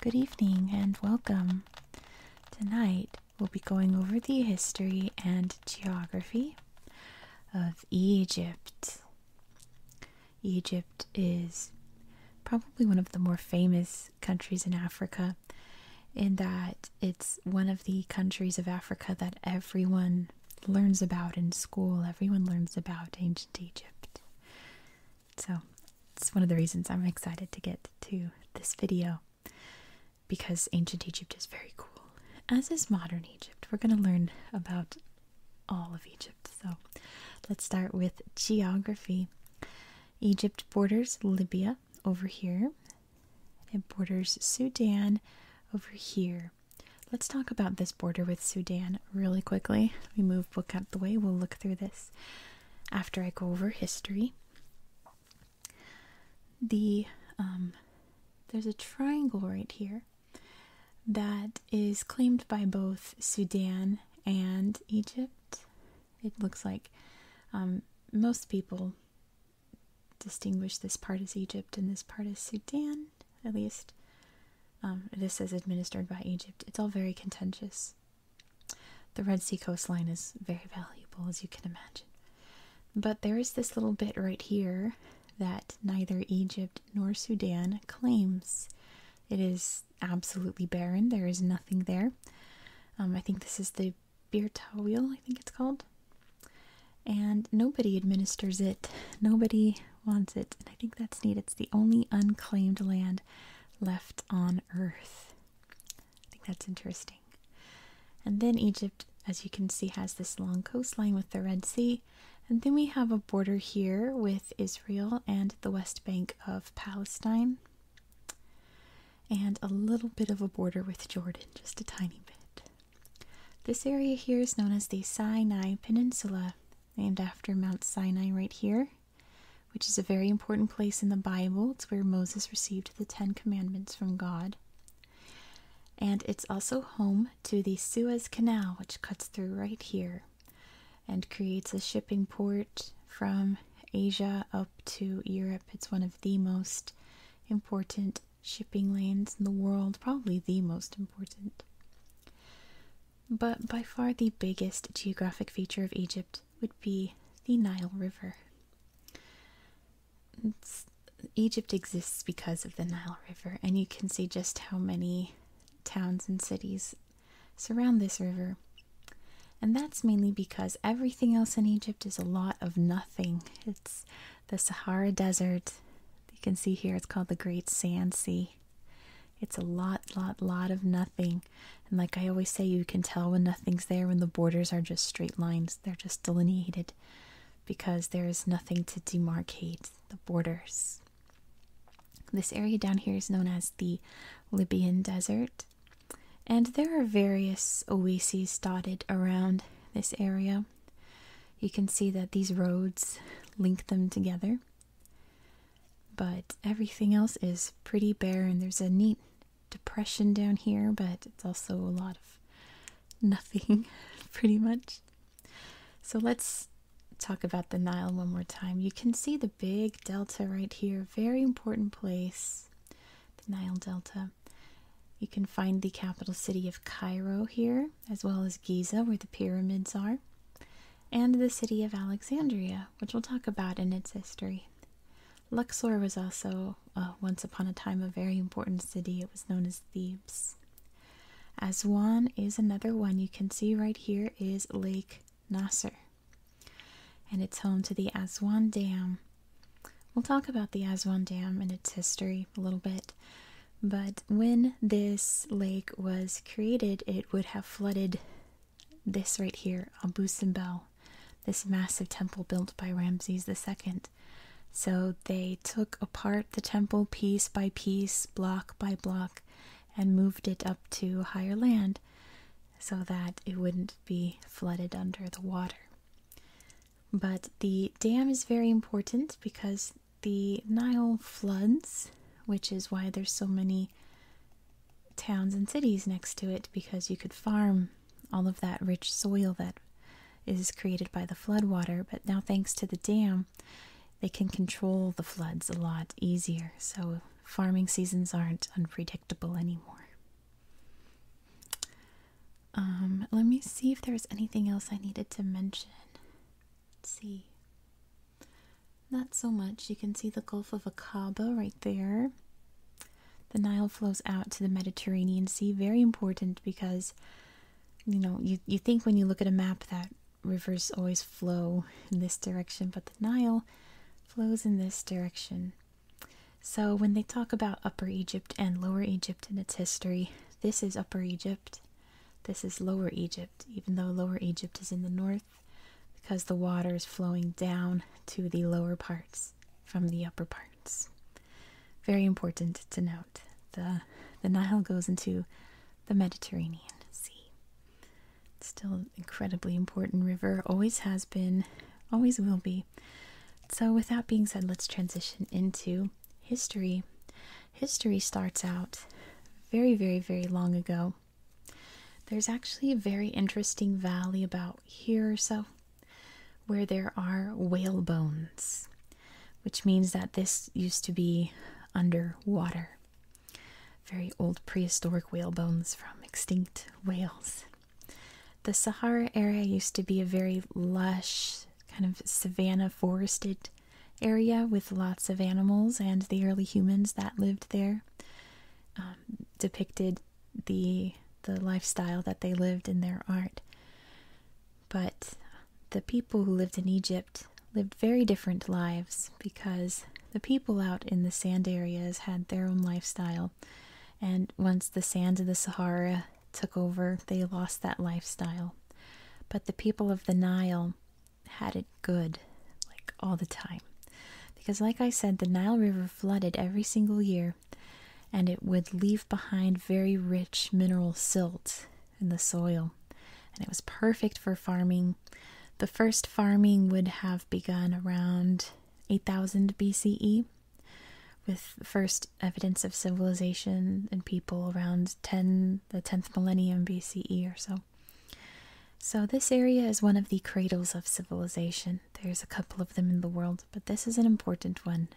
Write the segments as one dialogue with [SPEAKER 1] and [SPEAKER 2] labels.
[SPEAKER 1] Good evening and welcome. Tonight we'll be going over the history and geography of Egypt. Egypt is probably one of the more famous countries in Africa, in that it's one of the countries of Africa that everyone learns about in school. Everyone learns about ancient Egypt. So it's one of the reasons I'm excited to get to this video because ancient Egypt is very cool, as is modern Egypt. We're going to learn about all of Egypt. So let's start with geography. Egypt borders Libya, over here. It borders Sudan over here. Let's talk about this border with Sudan really quickly. We move book out the way. We'll look through this after I go over history. The um, there's a triangle right here that is claimed by both Sudan and Egypt it looks like. Um, most people distinguish this part as Egypt and this part as Sudan, at least. Um, this is administered by Egypt. It's all very contentious. The Red Sea coastline is very valuable, as you can imagine. But there is this little bit right here that neither Egypt nor Sudan claims. It is absolutely barren, there is nothing there. Um, I think this is the Birta wheel, I think it's called. And nobody administers it. Nobody wants it. And I think that's neat. It's the only unclaimed land left on earth. I think that's interesting. And then Egypt, as you can see, has this long coastline with the Red Sea. And then we have a border here with Israel and the West Bank of Palestine and a little bit of a border with Jordan, just a tiny bit. This area here is known as the Sinai Peninsula, named after Mount Sinai right here, which is a very important place in the Bible. It's where Moses received the Ten Commandments from God. And it's also home to the Suez Canal, which cuts through right here and creates a shipping port from Asia up to Europe. It's one of the most important shipping lanes in the world, probably the most important. But by far the biggest geographic feature of Egypt would be the Nile River. Egypt exists because of the Nile River, and you can see just how many towns and cities surround this river. And that's mainly because everything else in Egypt is a lot of nothing. It's the Sahara Desert. You can see here it's called the Great Sand Sea. It's a lot, lot, lot of nothing. And like I always say, you can tell when nothing's there when the borders are just straight lines. They're just delineated because there is nothing to demarcate the borders. This area down here is known as the Libyan Desert. And there are various oases dotted around this area. You can see that these roads link them together. But everything else is pretty bare, and there's a neat depression down here, but it's also a lot of nothing, pretty much. So let's talk about the Nile one more time. You can see the big delta right here, very important place the Nile Delta. You can find the capital city of Cairo here, as well as Giza, where the pyramids are, and the city of Alexandria, which we'll talk about in its history. Luxor was also, uh, once upon a time, a very important city. It was known as Thebes. Aswan is another one you can see right here is Lake Nasser and it's home to the Aswan Dam. We'll talk about the Aswan Dam and its history a little bit, but when this lake was created, it would have flooded this right here, Abu Simbel, this massive temple built by Ramses II. So they took apart the temple piece by piece, block by block, and moved it up to higher land so that it wouldn't be flooded under the water. But the dam is very important because the Nile floods, which is why there's so many towns and cities next to it because you could farm all of that rich soil that is created by the floodwater, but now thanks to the dam, they can control the floods a lot easier, so farming seasons aren't unpredictable anymore. Um, let me see if there's anything else I needed to mention. Let's see. Not so much. You can see the Gulf of Aqaba right there. The Nile flows out to the Mediterranean Sea. Very important because, you know, you, you think when you look at a map that rivers always flow in this direction, but the Nile flows in this direction. So, when they talk about Upper Egypt and Lower Egypt and its history, this is Upper Egypt, this is Lower Egypt, even though Lower Egypt is in the north because the water is flowing down to the lower parts from the upper parts. Very important to note. The, the Nile goes into the Mediterranean Sea. still an incredibly important river, always has been, always will be. So, with that being said, let's transition into history. History starts out very, very, very long ago. There's actually a very interesting valley about here or so where there are whale bones, which means that this used to be underwater. Very old prehistoric whale bones from extinct whales. The Sahara area used to be a very lush, kind of savanna forested area with lots of animals, and the early humans that lived there um, depicted the the lifestyle that they lived in their art. But the people who lived in Egypt lived very different lives because the people out in the sand areas had their own lifestyle and once the sands of the Sahara took over, they lost that lifestyle. But the people of the Nile had it good, like all the time. Because, like I said, the Nile River flooded every single year and it would leave behind very rich mineral silt in the soil. And it was perfect for farming. The first farming would have begun around 8000 BCE with first evidence of civilization and people around 10 the 10th millennium BCE or so. So this area is one of the cradles of civilization. There's a couple of them in the world, but this is an important one.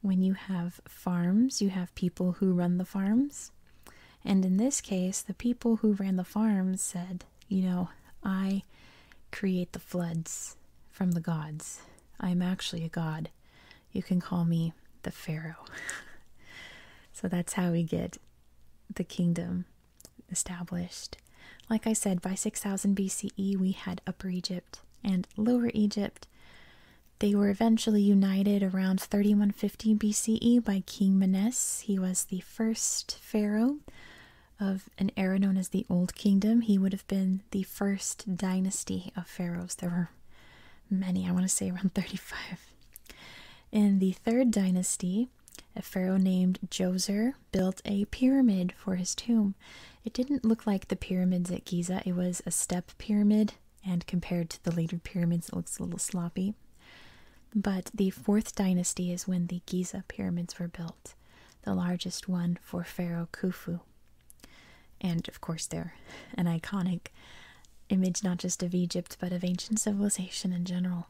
[SPEAKER 1] When you have farms, you have people who run the farms. And in this case, the people who ran the farms said, you know, I create the floods from the gods. I am actually a god. You can call me the Pharaoh. so that's how we get the kingdom established. Like I said, by 6000 BCE, we had Upper Egypt and Lower Egypt. They were eventually united around 3150 BCE by King Menes. He was the first pharaoh of an era known as the Old Kingdom. He would have been the first dynasty of pharaohs. There were many, I want to say around 35. In the third dynasty, a pharaoh named Djoser built a pyramid for his tomb. It didn't look like the pyramids at Giza, it was a step pyramid, and compared to the later pyramids, it looks a little sloppy. But the fourth dynasty is when the Giza pyramids were built the largest one for Pharaoh Khufu. And of course, they're an iconic image not just of Egypt but of ancient civilization in general.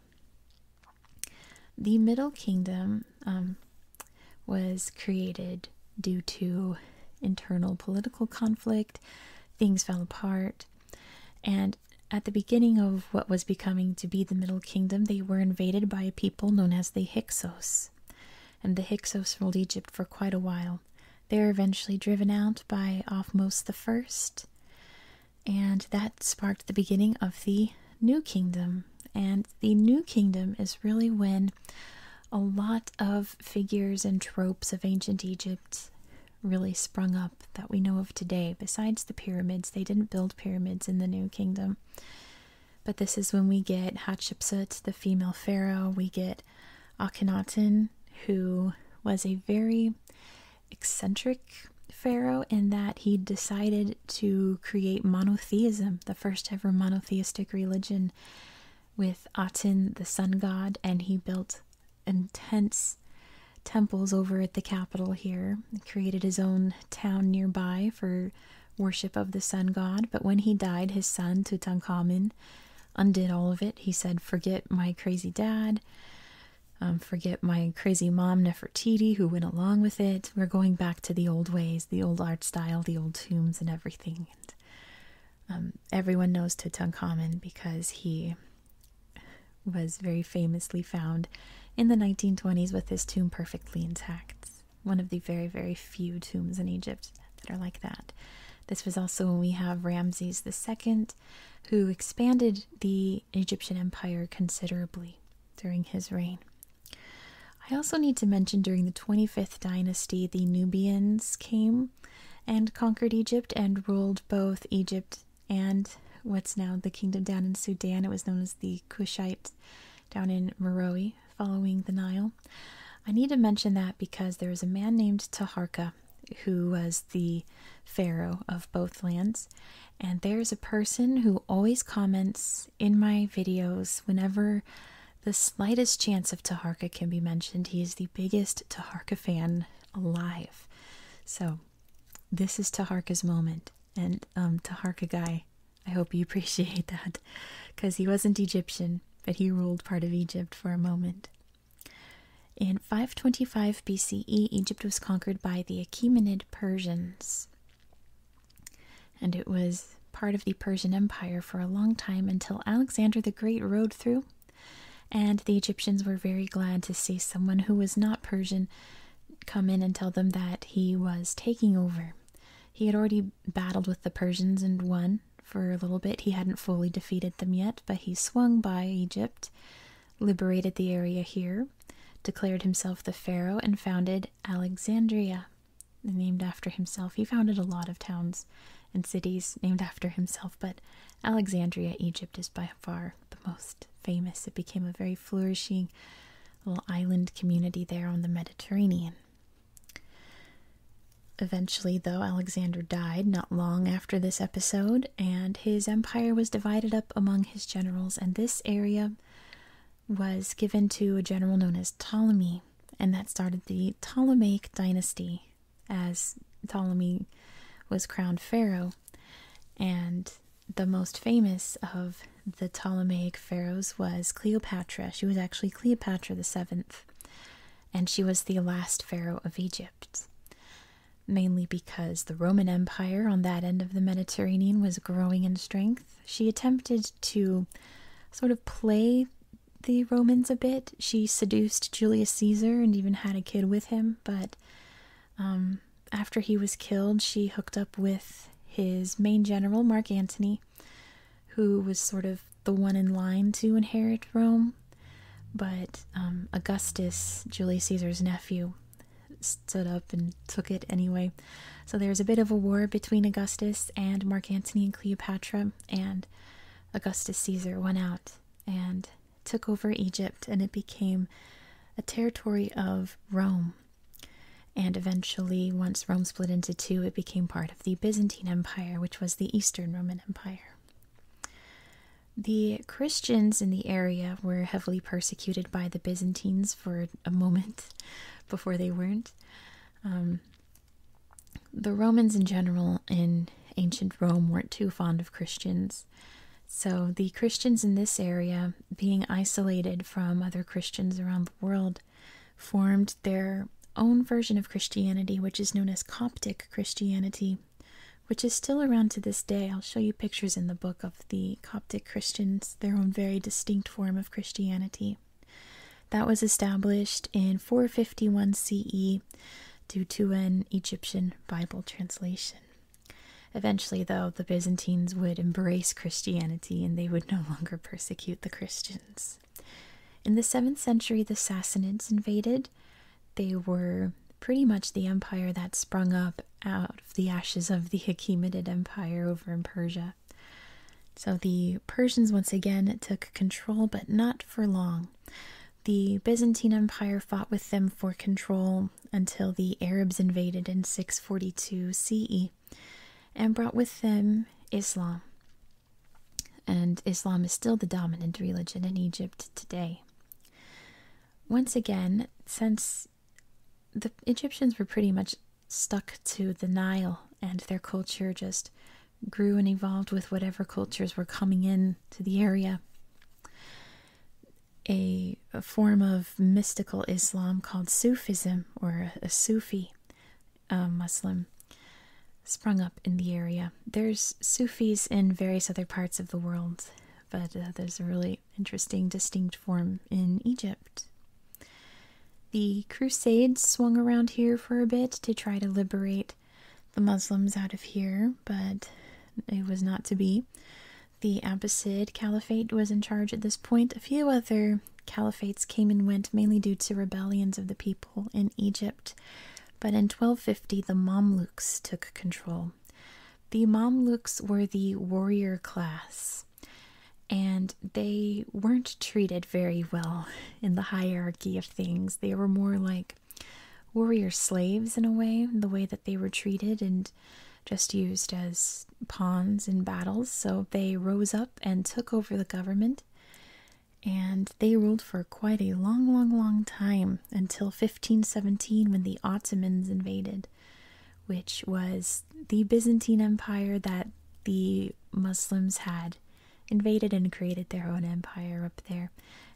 [SPEAKER 1] The Middle Kingdom um, was created due to internal political conflict, things fell apart, and at the beginning of what was becoming to be the Middle Kingdom, they were invaded by a people known as the Hyksos and the Hyksos ruled Egypt for quite a while. They were eventually driven out by the First, and that sparked the beginning of the New Kingdom. And the New Kingdom is really when a lot of figures and tropes of ancient Egypt really sprung up that we know of today. Besides the pyramids, they didn't build pyramids in the New Kingdom. But this is when we get Hatshepsut, the female pharaoh. We get Akhenaten, who was a very eccentric pharaoh in that he decided to create monotheism, the first ever monotheistic religion, with Aten, the sun god, and he built intense temples over at the capital here. created his own town nearby for worship of the sun god, but when he died, his son Tutankhamun undid all of it. He said, Forget my crazy dad, um, forget my crazy mom Nefertiti, who went along with it. We're going back to the old ways, the old art style, the old tombs, and everything. Um, everyone knows Tutankhamun because he was very famously found in the 1920s with his tomb perfectly intact one of the very, very few tombs in Egypt that are like that. This was also when we have Ramses II, who expanded the Egyptian empire considerably during his reign. I also need to mention during the 25th dynasty, the Nubians came and conquered Egypt and ruled both Egypt and what's now the kingdom down in Sudan. It was known as the Kushite down in Merowe, following the Nile. I need to mention that because there is a man named Taharka who was the pharaoh of both lands. And there's a person who always comments in my videos whenever the slightest chance of Taharka can be mentioned. He is the biggest Taharka fan alive. So this is Taharka's moment. And um, Taharka guy, I hope you appreciate that, because he wasn't Egyptian, but he ruled part of Egypt for a moment. In 525 BCE, Egypt was conquered by the Achaemenid Persians, and it was part of the Persian Empire for a long time until Alexander the Great rode through, and the Egyptians were very glad to see someone who was not Persian come in and tell them that he was taking over. He had already battled with the Persians and won. For a little bit, he hadn't fully defeated them yet, but he swung by Egypt, liberated the area here, declared himself the pharaoh, and founded Alexandria, named after himself. He founded a lot of towns and cities named after himself, but Alexandria, Egypt, is by far the most famous. It became a very flourishing little island community there on the Mediterranean. Eventually, though, Alexander died not long after this episode, and his empire was divided up among his generals, and this area was given to a general known as Ptolemy, and that started the Ptolemaic dynasty as Ptolemy was crowned pharaoh. And the most famous of the Ptolemaic pharaohs was Cleopatra. She was actually Cleopatra the Seventh, and she was the last pharaoh of Egypt. Mainly because the Roman Empire on that end of the Mediterranean was growing in strength, she attempted to sort of play the Romans a bit. She seduced Julius Caesar and even had a kid with him, but um, after he was killed, she hooked up with his main general, Mark Antony, who was sort of the one in line to inherit Rome. But um, Augustus, Julius Caesar's nephew, stood up and took it anyway. So there's a bit of a war between Augustus and Mark Antony and Cleopatra, and Augustus Caesar went out and took over Egypt, and it became a territory of Rome and eventually, once Rome split into two, it became part of the Byzantine Empire, which was the Eastern Roman Empire. The Christians in the area were heavily persecuted by the Byzantines for a moment before they weren't. Um, the Romans in general in ancient Rome weren't too fond of Christians. So the Christians in this area, being isolated from other Christians around the world, formed their own version of Christianity, which is known as Coptic Christianity, which is still around to this day. I'll show you pictures in the book of the Coptic Christians, their own very distinct form of Christianity. That was established in 451 CE due to an Egyptian Bible translation. Eventually, though, the Byzantines would embrace Christianity and they would no longer persecute the Christians. In the 7th century, the Sassanids invaded. They were pretty much the empire that sprung up out of the ashes of the Achaemenid Empire over in Persia. So the Persians once again took control, but not for long. The Byzantine Empire fought with them for control until the Arabs invaded in 642 CE and brought with them Islam. And Islam is still the dominant religion in Egypt today. Once again, since the Egyptians were pretty much stuck to the Nile and their culture just grew and evolved with whatever cultures were coming in to the area. A, form of mystical Islam called Sufism or a Sufi uh, Muslim sprung up in the area. There's Sufis in various other parts of the world, but uh, there's a really interesting, distinct form in Egypt. The Crusades swung around here for a bit to try to liberate the Muslims out of here, but it was not to be. The Abbasid Caliphate was in charge at this point. A few other caliphates came and went mainly due to rebellions of the people in Egypt. But in 1250, the Mamluks took control. The Mamluks were the warrior class, and they weren't treated very well in the hierarchy of things. They were more like warrior slaves in a way, the way that they were treated and just used as pawns in battles. So they rose up and took over the government and they ruled for quite a long, long, long time until 1517 when the Ottomans invaded, which was the Byzantine Empire that the Muslims had invaded and created their own empire up there,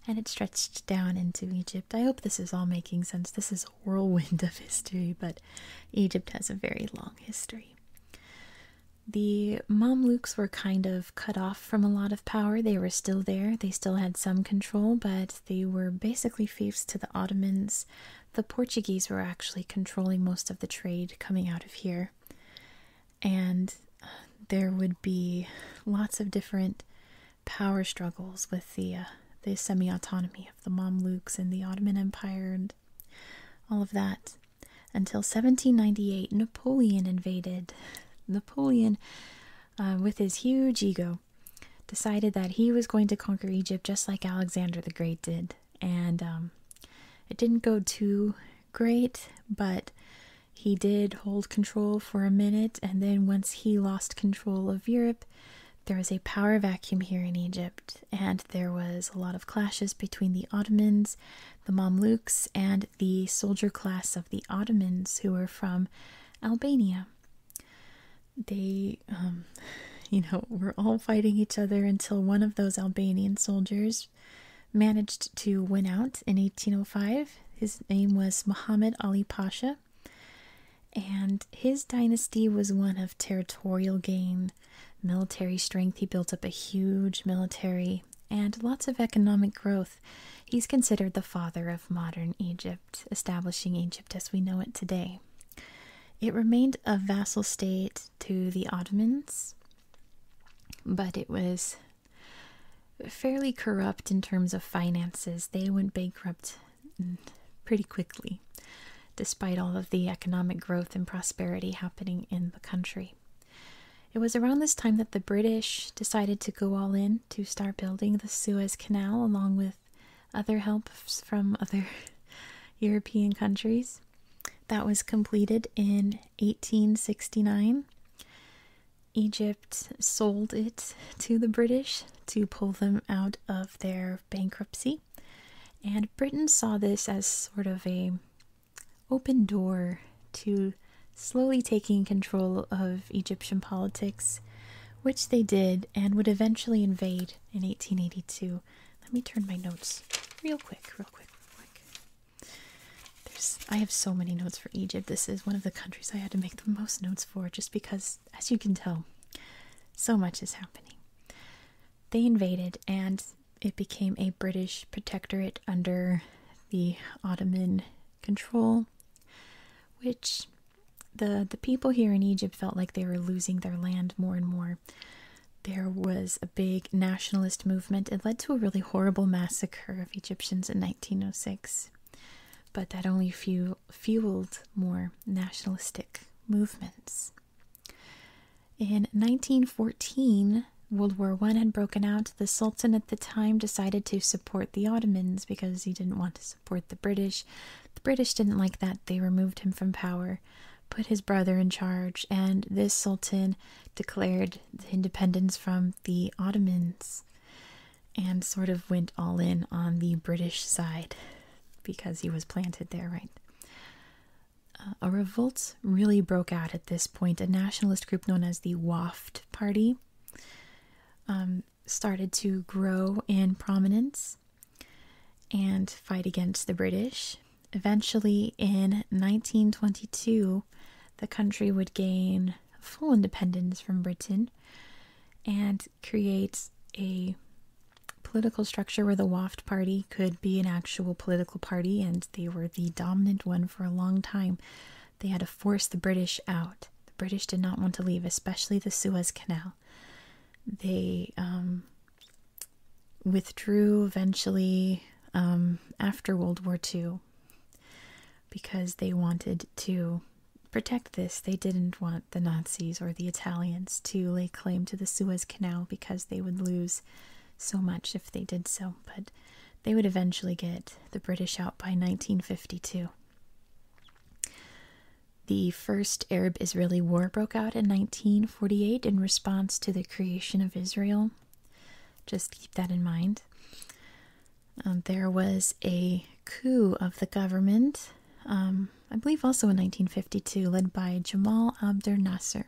[SPEAKER 1] and it stretched down into Egypt. I hope this is all making sense. This is a whirlwind of history, but Egypt has a very long history. The Mamluks were kind of cut off from a lot of power. They were still there, they still had some control, but they were basically fiefs to the Ottomans. The Portuguese were actually controlling most of the trade coming out of here. And uh, there would be lots of different power struggles with the uh, the semi autonomy of the Mamluks and the Ottoman Empire and all of that. Until 1798, Napoleon invaded. Napoleon, uh, with his huge ego, decided that he was going to conquer Egypt just like Alexander the Great did. And um, it didn't go too great, but he did hold control for a minute. And then once he lost control of Europe, there was a power vacuum here in Egypt and there was a lot of clashes between the Ottomans, the Mamluks, and the soldier class of the Ottomans who were from Albania. They, um, you know, were all fighting each other until one of those Albanian soldiers managed to win out in 1805. His name was Muhammad Ali Pasha, and his dynasty was one of territorial gain military strength. He built up a huge military and lots of economic growth. He's considered the father of modern Egypt, establishing Egypt as we know it today. It remained a vassal state to the Ottomans, but it was fairly corrupt in terms of finances. They went bankrupt pretty quickly, despite all of the economic growth and prosperity happening in the country. It was around this time that the British decided to go all in to start building the Suez Canal along with other helps from other European countries. That was completed in 1869. Egypt sold it to the British to pull them out of their bankruptcy. And Britain saw this as sort of a open door to slowly taking control of Egyptian politics, which they did and would eventually invade in 1882. Let me turn my notes real quick, real quick, real quick. There's, I have so many notes for Egypt. This is one of the countries I had to make the most notes for just because, as you can tell, so much is happening. They invaded, and it became a British protectorate under the Ottoman control, which the the people here in Egypt felt like they were losing their land more and more. There was a big nationalist movement. It led to a really horrible massacre of Egyptians in 1906, but that only fueled more nationalistic movements. In 1914, World War I had broken out. The Sultan at the time decided to support the Ottomans because he didn't want to support the British. The British didn't like that. They removed him from power, put his brother in charge, and this Sultan declared independence from the Ottomans and sort of went all in on the British side because he was planted there, right? Uh, a revolt really broke out at this point. A nationalist group known as the Waft Party um, started to grow in prominence and fight against the British. Eventually, in 1922, the country would gain full independence from Britain and create a political structure where the Waft Party could be an actual political party, and they were the dominant one for a long time. They had to force the British out. The British did not want to leave, especially the Suez Canal. They um, withdrew eventually um, after World War II because they wanted to protect this. They didn't want the Nazis or the Italians to lay claim to the Suez Canal because they would lose so much if they did so, but they would eventually get the British out by 1952. The first Arab Israeli war broke out in 1948 in response to the creation of Israel. Just keep that in mind. Um, there was a coup of the government, um, I believe also in 1952, led by Jamal Abdel Nasser.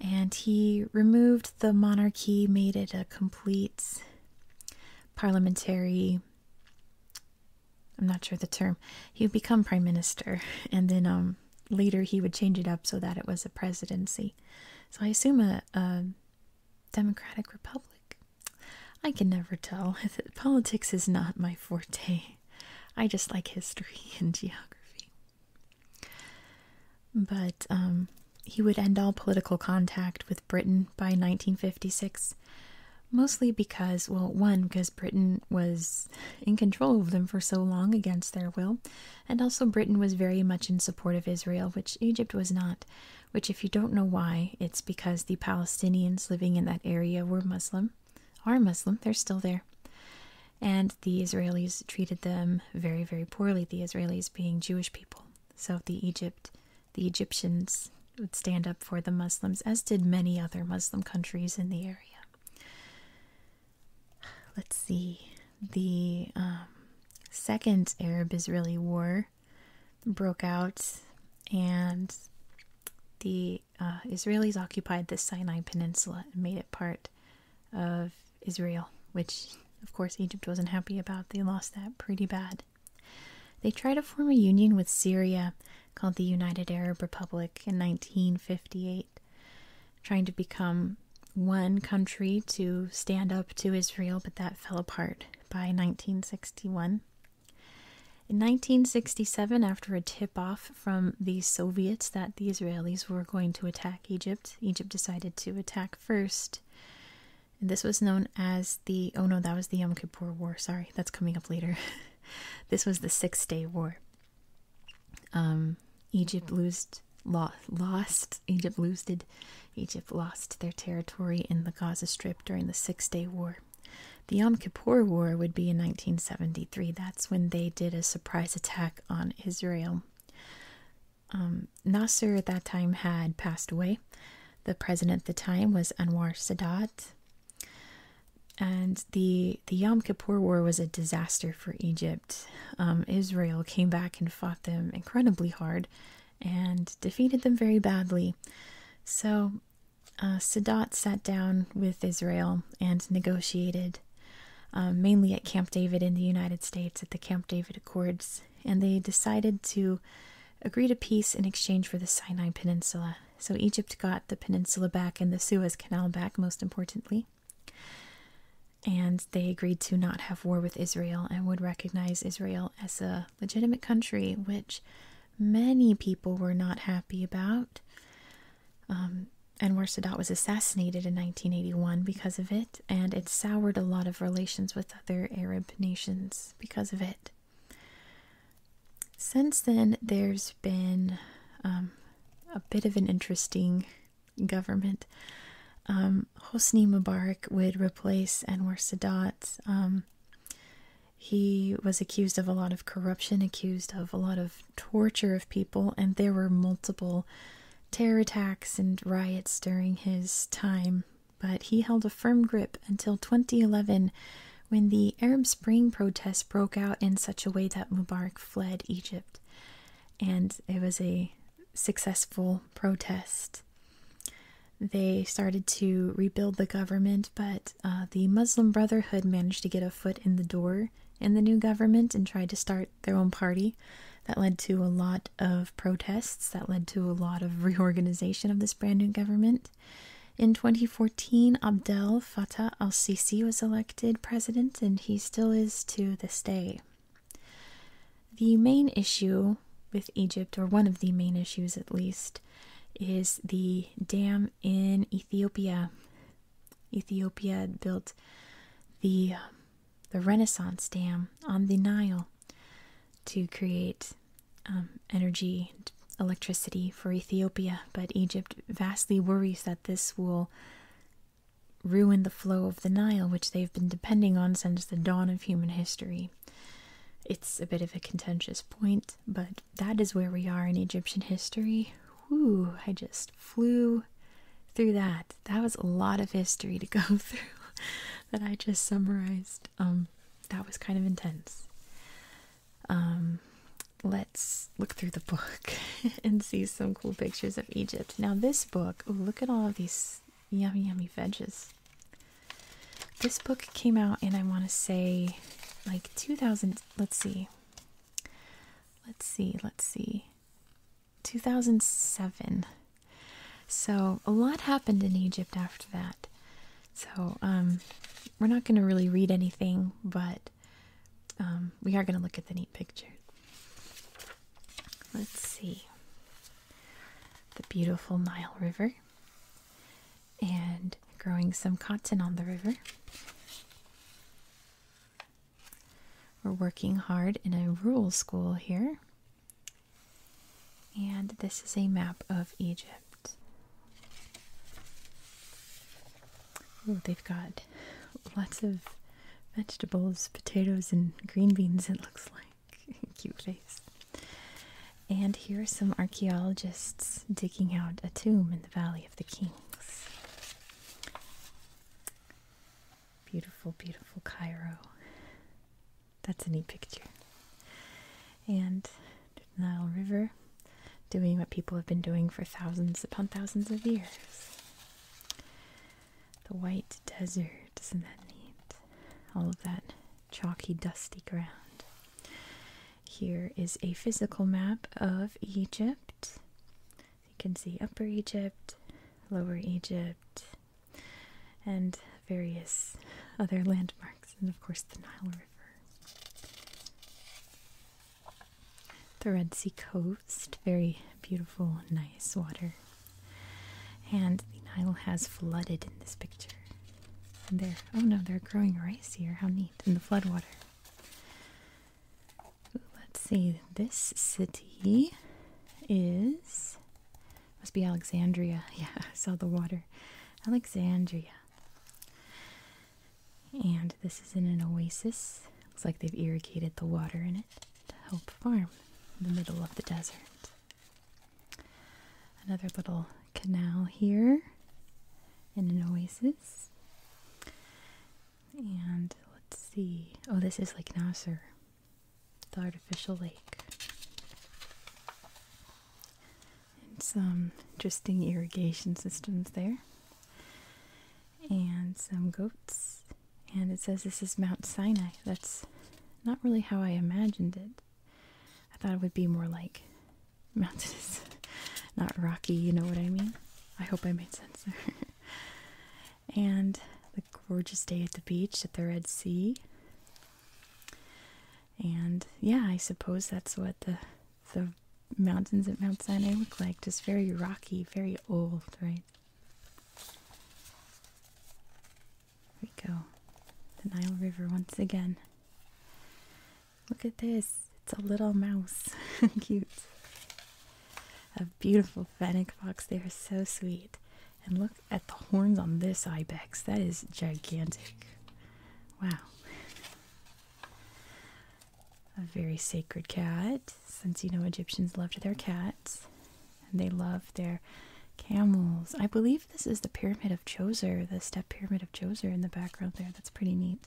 [SPEAKER 1] And he removed the monarchy, made it a complete parliamentary. I'm not sure the term. He would become prime minister, and then um, later he would change it up so that it was a presidency. So I assume a democratic republic. I can never tell. Politics is not my forte. I just like history and geography. But um, he would end all political contact with Britain by 1956, mostly because, well, one, because Britain was in control of them for so long against their will, and also Britain was very much in support of Israel, which Egypt was not. Which, if you don't know why, it's because the Palestinians living in that area were Muslim, are Muslim, they're still there and the Israelis treated them very, very poorly, the Israelis being Jewish people. So the Egypt the Egyptians would stand up for the Muslims, as did many other Muslim countries in the area. Let's see. The um, second Arab Israeli war broke out, and the uh, Israelis occupied the Sinai Peninsula and made it part of Israel, which, of course, Egypt wasn't happy about. They lost that pretty bad. They tried to form a union with Syria called the United Arab Republic in 1958, trying to become one country to stand up to Israel, but that fell apart by 1961. In 1967, after a tip off from the Soviets that the Israelis were going to attack Egypt. Egypt decided to attack first. And this was known as the oh no, that was the Yom Kippur War. Sorry, that's coming up later. this was the Six Day War. Um, Egypt lost, lo lost. Egypt losed. Egypt lost their territory in the Gaza Strip during the Six Day War. The Yom Kippur War would be in 1973. That's when they did a surprise attack on Israel. Um, Nasser at that time had passed away. The president at the time was Anwar Sadat. And the, the Yom Kippur War was a disaster for Egypt. Um, Israel came back and fought them incredibly hard and defeated them very badly. So uh, Sadat sat down with Israel and negotiated um, mainly at Camp David in the United States at the Camp David Accords, and they decided to agree to peace in exchange for the Sinai Peninsula. So Egypt got the peninsula back and the Suez Canal back, most importantly. And they agreed to not have war with Israel and would recognize Israel as a legitimate country, which many people were not happy about. Um, Anwar Sadat was assassinated in 1981 because of it, and it soured a lot of relations with other Arab nations because of it. Since then, there's been um, a bit of an interesting government. Um, Hosni Mubarak would replace Anwar Sadat. Um, he was accused of a lot of corruption, accused of a lot of torture of people, and there were multiple terror attacks and riots during his time, but he held a firm grip until 2011 when the Arab Spring protests broke out in such a way that Mubarak fled Egypt. And it was a successful protest. They started to rebuild the government, but uh, the Muslim Brotherhood managed to get a foot in the door in the new government and tried to start their own party. That led to a lot of protests, that led to a lot of reorganization of this brand new government. In 2014, Abdel Fattah al Sisi was elected president, and he still is to this day. The main issue with Egypt, or one of the main issues at least, is the dam in Ethiopia. Ethiopia built the the Renaissance Dam on the Nile to create um, energy electricity for Ethiopia. But Egypt vastly worries that this will ruin the flow of the Nile, which they've been depending on since the dawn of human history. It's a bit of a contentious point, but that is where we are in Egyptian history. Whew, I just flew through that. That was a lot of history to go through that I just summarized. Um, that was kind of intense. Um, let's look through the book and see some cool pictures of Egypt. Now, this book, look at all of these yummy, yummy veggies. This book came out in, I want to say, like 2000. Let's see. Let's see. Let's see. 2007. So a lot happened in Egypt after that. So um, we're not going to really read anything, but um, we are going to look at the neat picture. Let's see the beautiful Nile River and growing some cotton on the river. We're working hard in a rural school here. And this is a map of Egypt. Oh, they've got lots of vegetables, potatoes, and green beans, it looks like. Cute face. And here are some archaeologists digging out a tomb in the Valley of the Kings. Beautiful, beautiful Cairo. That's a neat picture. And the Nile River doing what people have been doing for thousands upon thousands of years. The white desert, isn't that neat? All of that chalky, dusty ground. Here is a physical map of Egypt. You can see Upper Egypt, Lower Egypt, and various other landmarks, and of course the Nile River. The Red Sea coast, very beautiful, nice water. And the Nile has flooded in this picture. And oh no, they're growing rice here. How neat. In the floodwater. Let's see. This city is must be Alexandria. Yeah, I saw the water. Alexandria. And this is in an oasis. Looks like they've irrigated the water in it to help farm the middle of the desert. Another little canal here in an oasis. And let's see. Oh, this is like Nasser the artificial lake. And some interesting irrigation systems there. And some goats. And it says this is Mount Sinai. That's not really how I imagined it. I thought it would be more like mountainous, not rocky, you know what I mean? I hope I made sense and the gorgeous day at the beach at the Red Sea. And yeah, I suppose that's what the the mountains at Mount Sinai look like. Just very rocky, very old, right? There we go. The Nile River once again. Look at this. It's a little mouse. Cute. A beautiful fennec fox. They are so sweet. And look at the horns on this ibex. That is gigantic. Wow. A very sacred cat, since you know Egyptians loved their cats and they loved their camels. I believe this is the pyramid of Djoser, the step pyramid of Djoser in the background there. That's pretty neat.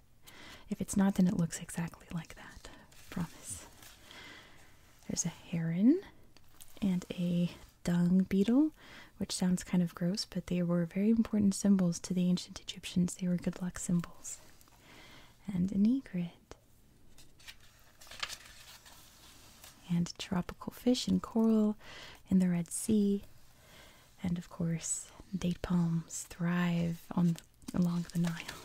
[SPEAKER 1] If it's not, then it looks exactly like that. promise. There's a heron and a dung beetle, which sounds kind of gross, but they were very important symbols to the ancient Egyptians. They were good luck symbols. And an egret. And tropical fish and coral in the Red Sea. And of course, date palms thrive on along the Nile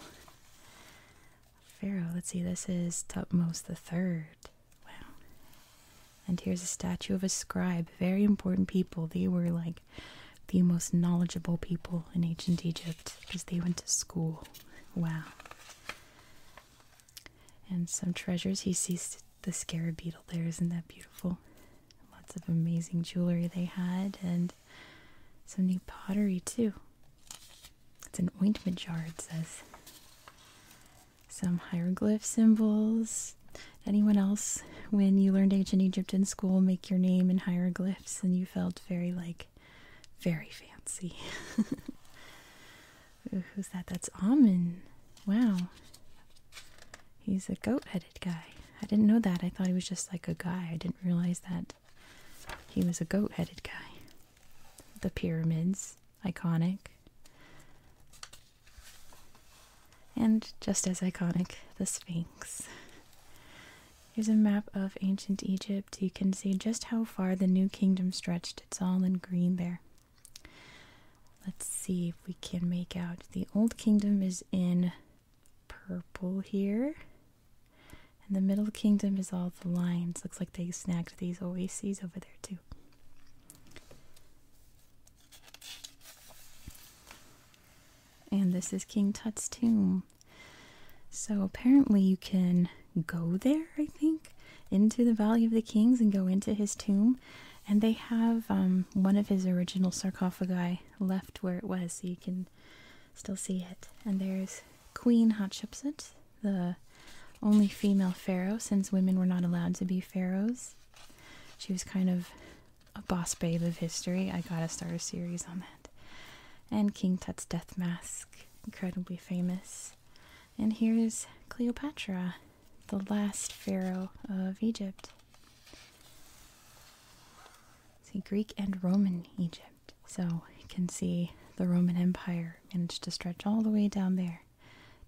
[SPEAKER 1] pharaoh. Let's see, this is Tutmos the Third. Wow. And here's a statue of a scribe. Very important people. They were like the most knowledgeable people in ancient Egypt because they went to school. Wow. And some treasures. He sees the scarab beetle there. Isn't that beautiful? Lots of amazing jewelry they had and some new pottery too. It's an ointment jar, it says. Some hieroglyph symbols. Anyone else, when you learned ancient Egypt in school, make your name in hieroglyphs and you felt very, like, very fancy? who's that? That's Amun. Wow. He's a goat headed guy. I didn't know that. I thought he was just like a guy. I didn't realize that he was a goat headed guy the pyramids, iconic. And just as iconic, the Sphinx. Here's a map of ancient Egypt. You can see just how far the New Kingdom stretched. It's all in green there. Let's see if we can make out. The Old Kingdom is in purple here. And the middle kingdom is all the lines. Looks like they snagged these oases over there too. And this is King Tut's tomb. So apparently you can go there, I think, into the Valley of the Kings and go into his tomb. And they have um, one of his original sarcophagi left where it was, so you can still see it. And there's Queen Hatshepsut, the only female pharaoh, since women were not allowed to be pharaohs. She was kind of a boss babe of history. I gotta start a series on that. And King Tut's death mask, incredibly famous. And here's Cleopatra, the last pharaoh of Egypt. See, Greek and Roman Egypt. So you can see the Roman Empire managed to stretch all the way down there.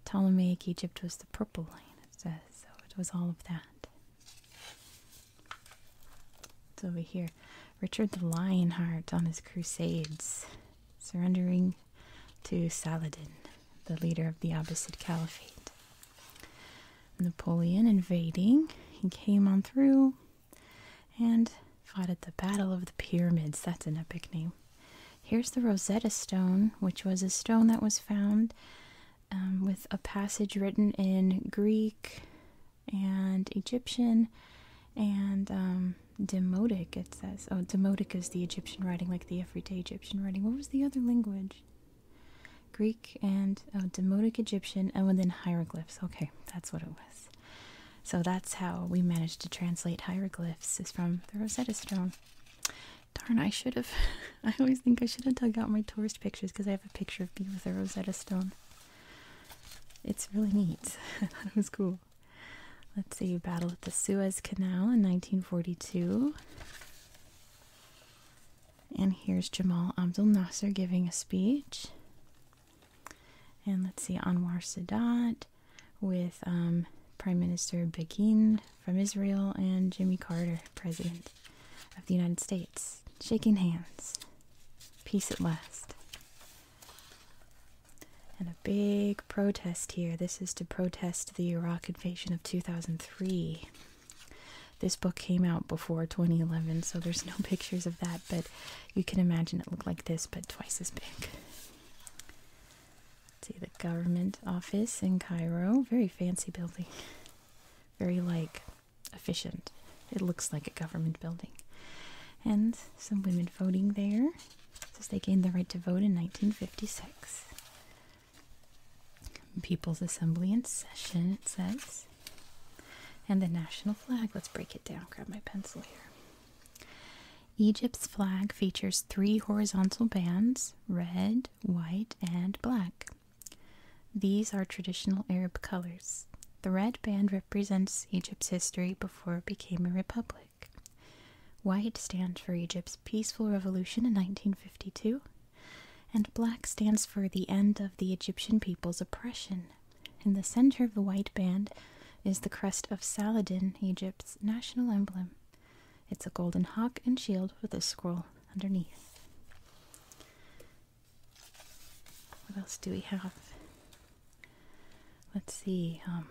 [SPEAKER 1] Ptolemaic Egypt was the purple line, it says, so it was all of that. It's over here. Richard the Lionheart on his crusades, surrendering to Saladin, the leader of the Abbasid Caliphate. Napoleon invading, he came on through, and fought at the Battle of the Pyramids. That's an epic name. Here's the Rosetta Stone, which was a stone that was found um, with a passage written in Greek and Egyptian and um, Demotic, it says. Oh, Demotic is the Egyptian writing, like the everyday Egyptian writing. What was the other language? Greek and oh, Demotic Egyptian, and then hieroglyphs. Okay, that's what it was. So that's how we managed to translate hieroglyphs is from the Rosetta Stone. Darn, I should have. I always think I should have dug out my tourist pictures because I have a picture of me with a Rosetta Stone. It's really neat. I thought it was cool. Let's see, battle of the Suez Canal in 1942. And here's Jamal Abdel Nasser giving a speech. And let's see, Anwar Sadat with um, Prime Minister Begin from Israel and Jimmy Carter, President of the United States, shaking hands. Peace at last. And a big protest here. This is to protest the Iraq invasion of 2003. This book came out before 2011, so there's no pictures of that, but you can imagine it looked like this, but twice as big see the government office in Cairo. Very fancy building. Very like efficient. It looks like a government building. And some women voting there since they gained the right to vote in 1956. People's Assembly in session, it says. And the national flag. Let's break it down. Grab my pencil here. Egypt's flag features three horizontal bands red, white, and black. These are traditional Arab colors. The red band represents Egypt's history before it became a republic. White stands for Egypt's peaceful revolution in 1952, and black stands for the end of the Egyptian people's oppression. In the center of the white band is the crest of Saladin, Egypt's national emblem. It's a golden hawk and shield with a scroll underneath. What else do we have? Let's see, um,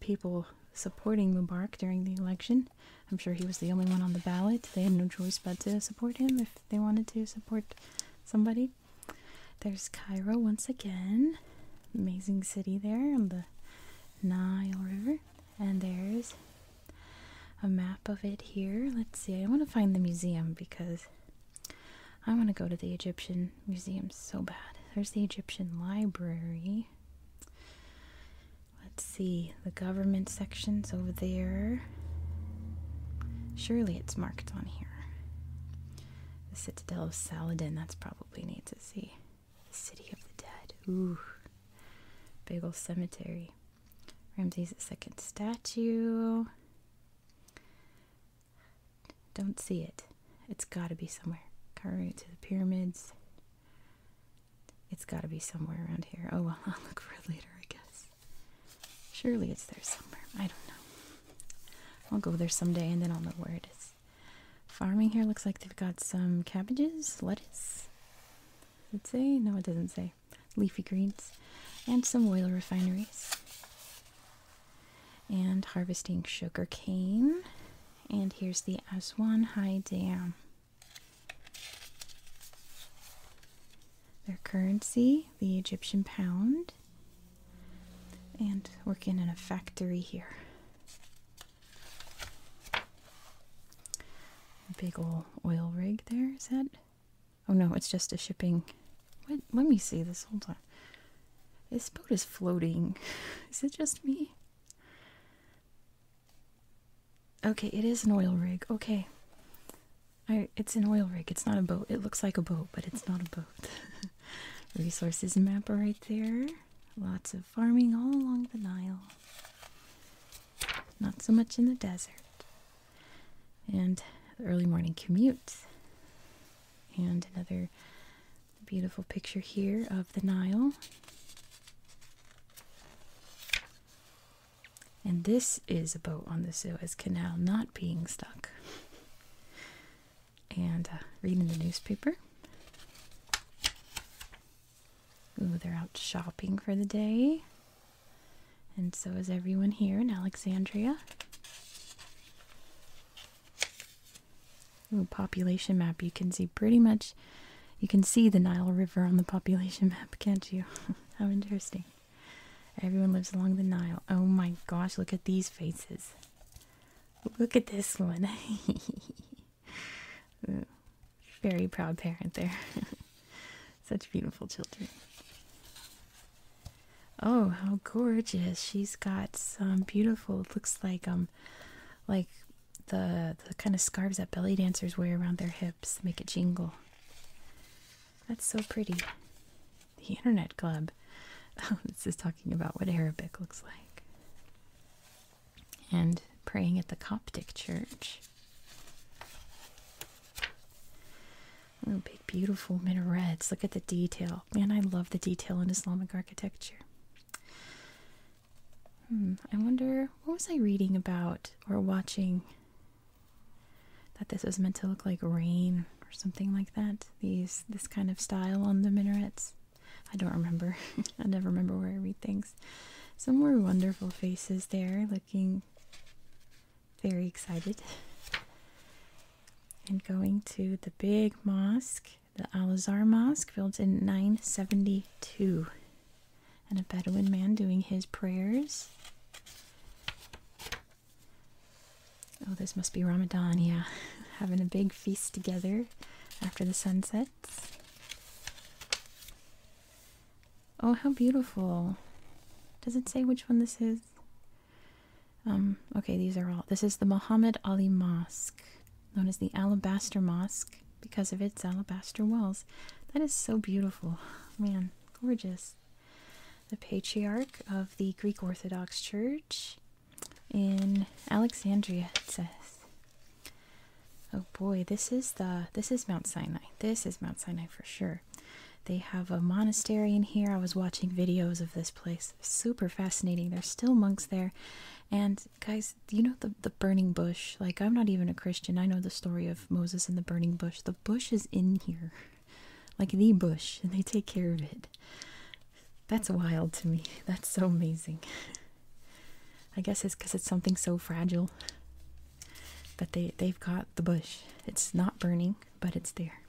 [SPEAKER 1] people supporting Mubarak during the election. I'm sure he was the only one on the ballot. They had no choice but to support him if they wanted to support somebody. There's Cairo once again. Amazing city there on the Nile River. And there's a map of it here. Let's see. I want to find the museum because I want to go to the Egyptian museum so bad. There's the Egyptian library. Let's see. The government section's over there. Surely it's marked on here. The Citadel of Saladin, that's probably we need to see. The City of the Dead. Ooh. Big old cemetery. Ramses II statue. Don't see it. It's gotta be somewhere. Karut to the pyramids. It's gotta be somewhere around here. Oh well, I'll look for it later, I guess. Surely it's there somewhere. I don't know. I'll go there someday and then I'll know where it is. Farming here looks like they've got some cabbages, lettuce. Let's say? No, it doesn't say. Leafy greens and some oil refineries. And harvesting sugar cane. And here's the Aswan High Dam. Their currency, the Egyptian pound and working in a factory here. big old oil rig there, is that? Oh no, it's just a shipping. What? Let me see this. whole time. This boat is floating. is it just me? Okay, it is an oil rig. Okay. it's an oil rig. It's not a boat. It looks like a boat, but it's not a boat. Resources map right there. Lots of farming all along the Nile. Not so much in the desert. And the early morning commute. And another beautiful picture here of the Nile. And this is a boat on the Suez Canal not being stuck and uh, reading the newspaper. Ooh, they're out shopping for the day. And so is everyone here in Alexandria. Ooh, population map. You can see pretty much, you can see the Nile River on the population map, can't you? How interesting. Everyone lives along the Nile. Oh my gosh, look at these faces. Look at this one. very proud parent there. Such beautiful children. Oh, how gorgeous. She's got some beautiful looks like um like the the kind of scarves that belly dancers wear around their hips make it jingle. That's so pretty. The Internet Club. Let's just talk about what Arabic looks like. And praying at the Coptic church. Oh, big, beautiful minarets. Look at the detail. Man, I love the detail in Islamic architecture. Hmm, I wonder, what was I reading about or watching? That this was meant to look like rain or something like that. These, this kind of style on the minarets. I don't remember. I never remember where I read things. Some more wonderful faces there looking very excited. And going to the big mosque, the Al Azhar Mosque, built in 972. And a Bedouin man doing his prayers. Oh, this must be Ramadan, yeah. Having a big feast together after the sun sets. Oh, how beautiful. Does it say which one this is? Um, okay, these are all. This is the Muhammad Ali Mosque, known as the Alabaster Mosque because of its alabaster walls. That is so beautiful. Man, gorgeous. The patriarch of the Greek Orthodox Church in Alexandria, it says. Oh boy, this is the this is Mount Sinai. This is Mount Sinai for sure. They have a monastery in here. I was watching videos of this place. Super fascinating. There's still monks there. And guys, you know the the burning bush. Like I'm not even a Christian. I know the story of Moses and the burning bush. The bush is in here. Like the bush, and they take care of it. That's wild to me. That's so amazing. I guess it's because it's something so fragile that they, they've got the bush. It's not burning, but it's there.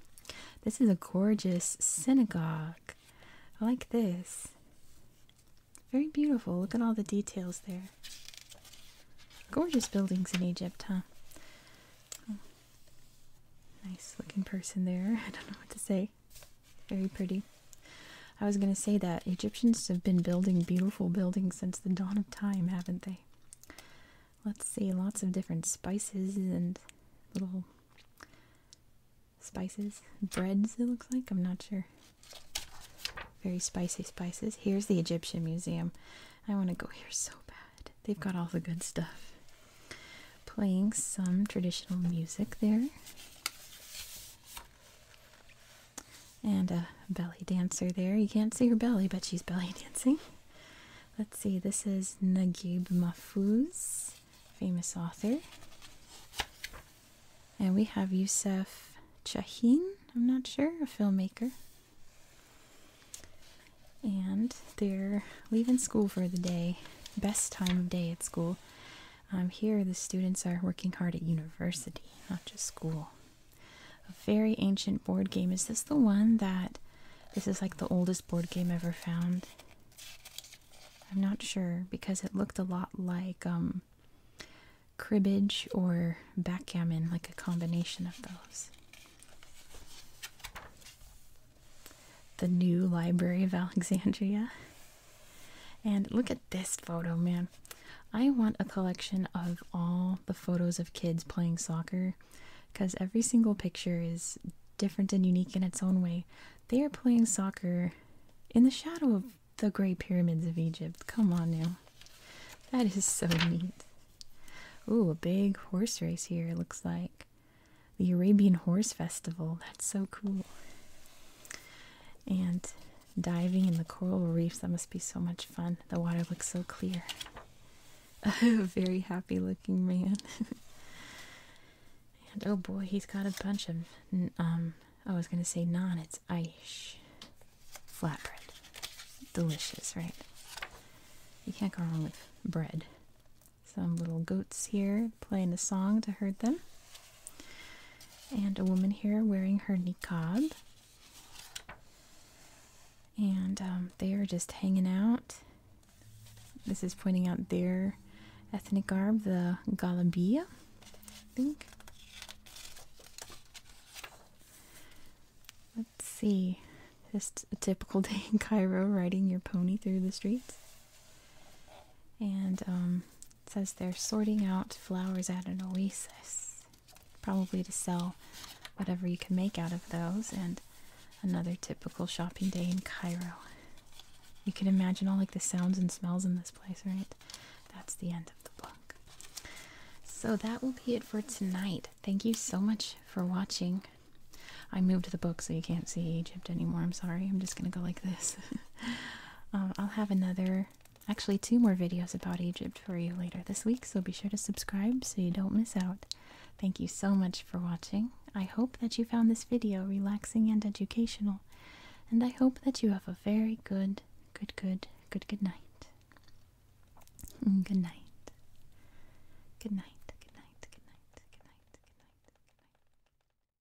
[SPEAKER 1] This is a gorgeous synagogue. like this. Very beautiful. Look at all the details there. Gorgeous buildings in Egypt, huh? Oh, nice looking person there. I don't know what to say very pretty. I was going to say that Egyptians have been building beautiful buildings since the dawn of time, haven't they? Let's see, lots of different spices and little spices, breads, it looks like. I'm not sure. Very spicy spices. Here's the Egyptian Museum. I want to go here so bad. They've got all the good stuff playing some traditional music there. And a belly dancer there. You can't see her belly, but she's belly dancing. Let's see, this is Naguib Mahfouz, famous author. And we have Youssef Chahine. I'm not sure, a filmmaker. And they're leaving school for the day, best time of day at school. Um, here, the students are working hard at university, not just school. A very ancient board game. Is this the one that this is like the oldest board game ever found? I'm not sure because it looked a lot like um, cribbage or backgammon, like a combination of those. The new Library of Alexandria. And look at this photo, man. I want a collection of all the photos of kids playing soccer because every single picture is different and unique in its own way. They are playing soccer in the shadow of the Great Pyramids of Egypt. Come on now. That is so neat. Ooh, a big horse race here, looks like. The Arabian Horse Festival. That's so cool. And diving in the coral reefs, that must be so much fun. The water looks so clear. A very happy looking man. and oh boy, he's got a bunch of, um, I was going to say non, it's ice. Flatbread. Delicious, right? You can't go wrong with bread. Some little goats here playing a song to herd them and a woman here wearing her niqab. And um, they are just hanging out. This is pointing out their ethnic garb, the Galabia, I think. Let's see. Just a typical day in Cairo, riding your pony through the streets. And um, it says they're sorting out flowers at an oasis, probably to sell whatever you can make out of those. And another typical shopping day in Cairo. You can imagine all like the sounds and smells in this place, right? That's the end of the book. So that will be it for tonight. Thank you so much for watching. I moved the book so you can't see Egypt anymore. I'm sorry. I'm just going to go like this. Um, I'll have another, actually, two more videos about Egypt for you later this week, so be sure to subscribe so you don't miss out. Thank you so much for watching. I hope that you found this video relaxing and educational, and I hope that you have a very good, good, good, good, good night. Mm, good night. Good night. Good night. Good night. Good night. Good night.